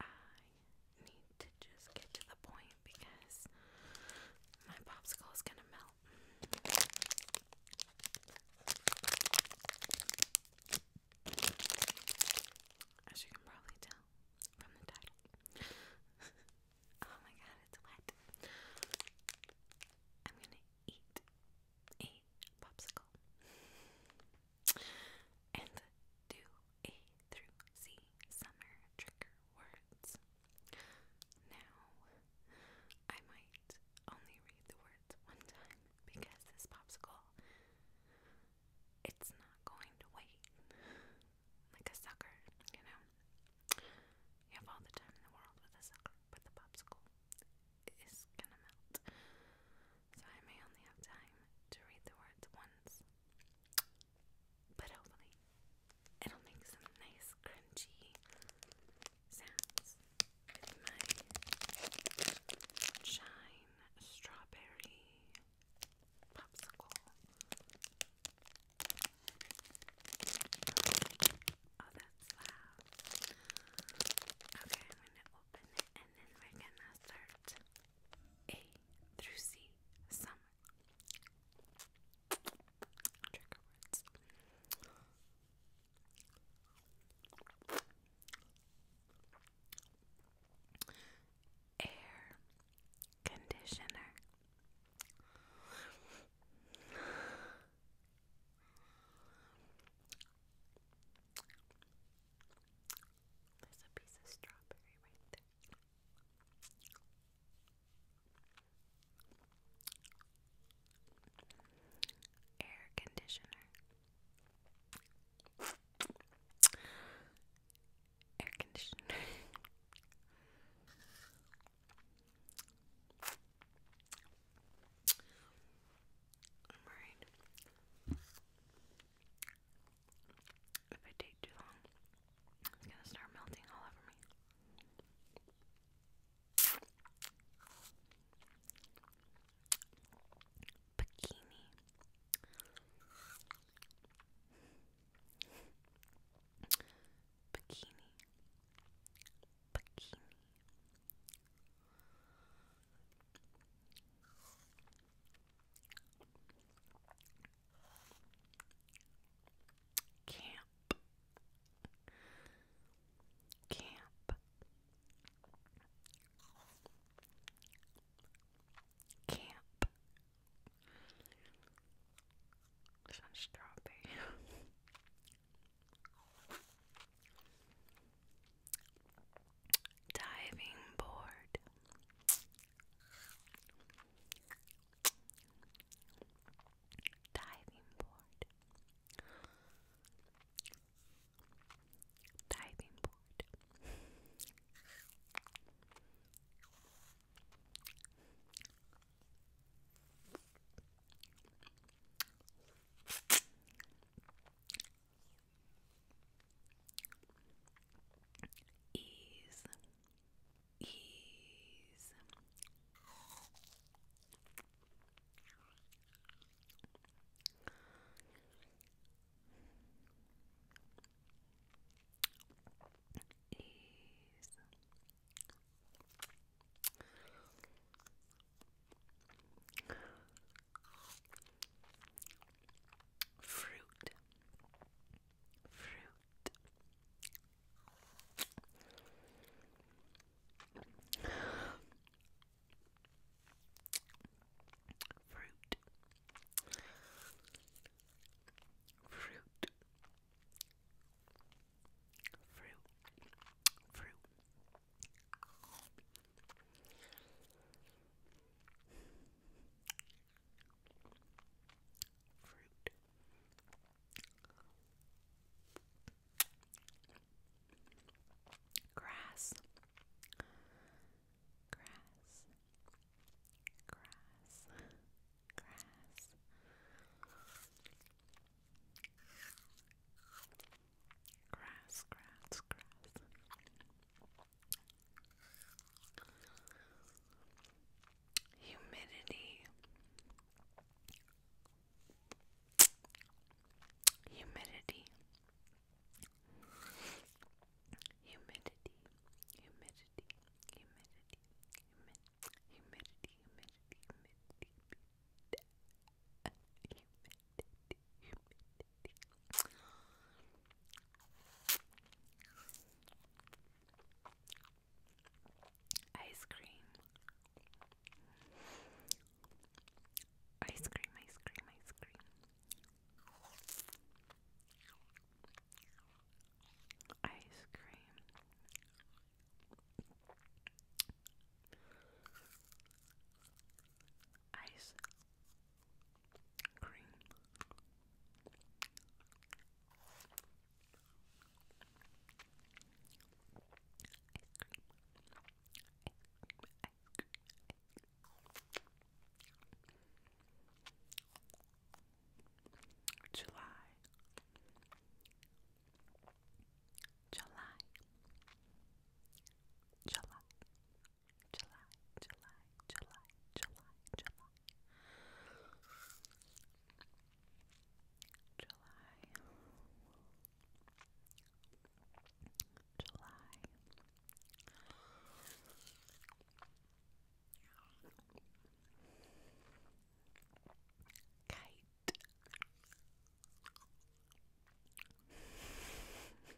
I need to just get to the point because my popsicle is gonna melt. As you can probably tell from the title. oh my god, it's wet. I'm gonna eat a popsicle and do A through C summer trigger words. Now, I might only read the words one time because this popsicle, it's not going to wait like a sucker, you know. You have all the time in the world with a sucker, but the popsicle is gonna melt so I may only have time to read the words once. But hopefully, it'll make some nice crunchy sounds with my shine strawberry popsicle. Oh, that's loud. Okay, I'm gonna open it and then we're gonna start a through C. Some trigger words. Air conditioner. There's a piece of strawberry right there. Air conditioner. Air conditioner. i if I take too long, it's gonna start melting all over me. Bikini. Bikini. Bikini. Camp. Camp. Camp. Some strawberry. diving board. Diving board. Diving board ease, ease. Ease. Fruit. Fruit. Fruit. Fruit. Fruit. Fruit. Fruit. Grass. Grass. Grass. Grass. Grass, grass, grass. Humidity. Humidity. Humidity. Humidity. Humidity. Humidity. Humidity. Humidity. Ice cream. Ice cream, ice cream, ice cream. Ice green. Ice cream. July. July. July. July, July, July, July, July. July. July. Kate.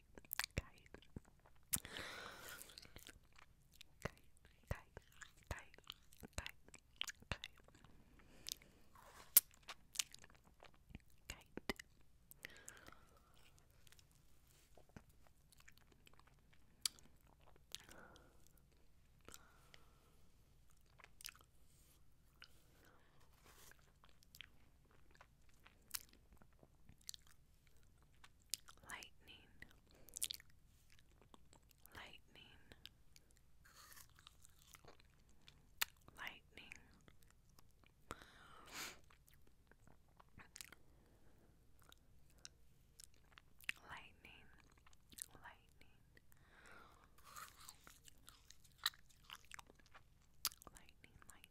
kite, kite, kite, kite, kite, kite, kite, kite. lightning, lightning, lightning. Lightning, lightning, lightning,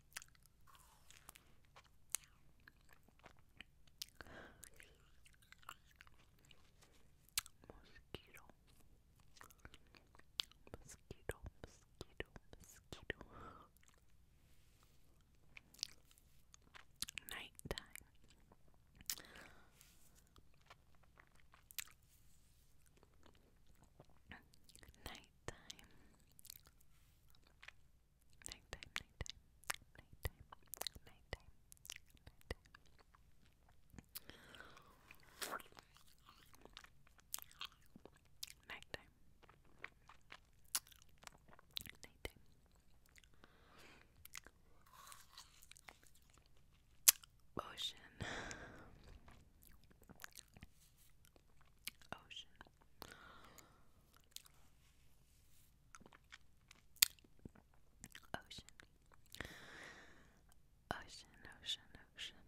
Mosquito. Mosquito, mosquito, mosquito. Nighttime. Nighttime nighttime. Nighttime, nighttime, nighttime, nighttime, nighttime. Nighttime. Nighttime. Ocean. Ocean. Ocean. Ocean, ocean, ocean, ocean,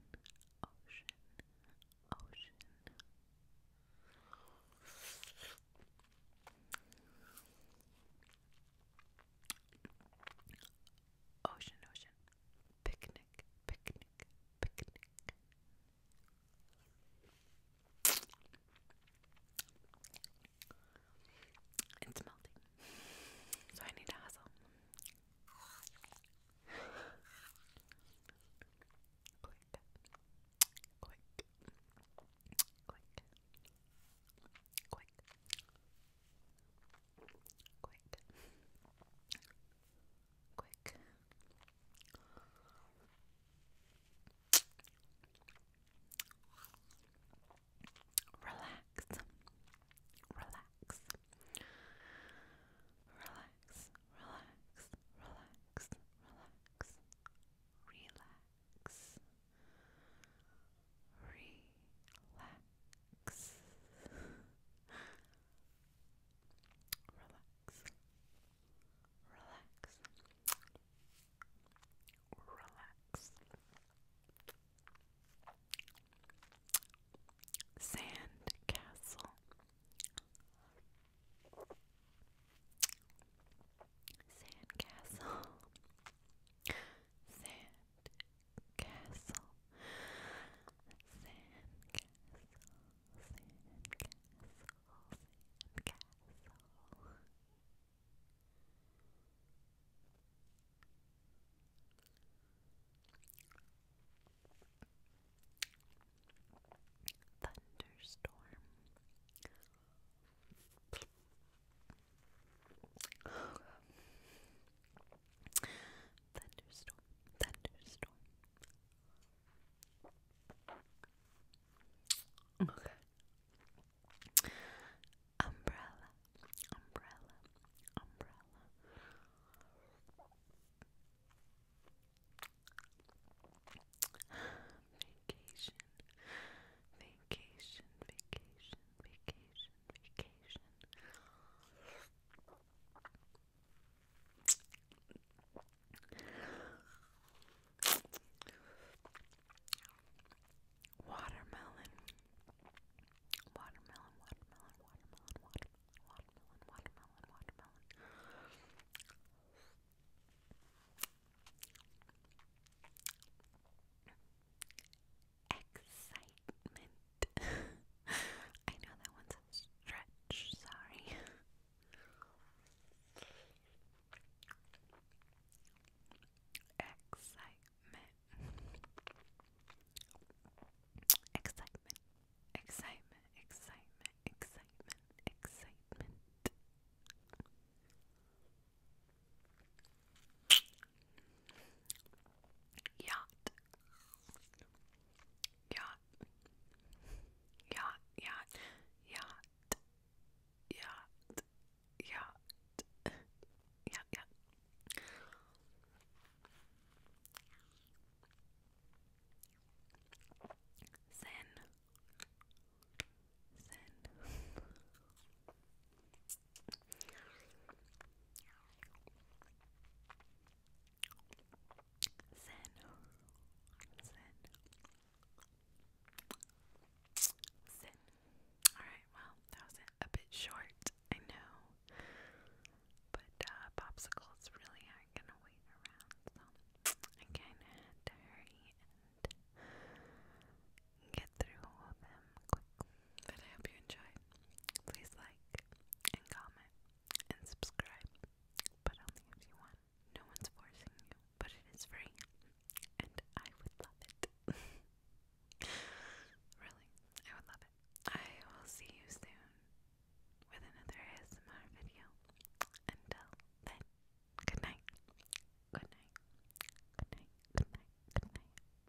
ocean. Ocean, ocean. Picnic, picnic, picnic, picnic. It's melting, so I need to hustle. quick, quick, quick, quick, quick quick. Relax, relax, relax, relax, relax, relax, relax, relax. Relax relax, relax, relax. Sand castle, sand castle, sand castle, sand castle, sand castle. Thunderstorm. Thunderstorm, thunderstorm. Okay. Umbrella, umbrella, umbrella. Vacation, vacation, vacation, vacation, vacation. Watermelon. Watermelon, watermelon, watermelon, watermelon, watermelon, watermelon. Excitement. I know that one's a stretch, sorry. Excitement. Excitement. Excitement. Excitement. Excitement. Excitement. Yacht. Yacht. Yacht, yacht, yacht, yacht, yacht, yacht, yacht. Zen. Zen. Zen. Alright, well, that was a bit short, I know. But uh, popsicles really aren't gonna wait around, so I kinda had to hurry and get through all of them quick. But I hope you enjoyed. Please like and comment and subscribe, but only if you want. No one's forcing you, but it is free, and I would love it. really, I would love it. I will see you soon with another ASMR video. Until then, good night. Good night. Good night. Good night. Good night.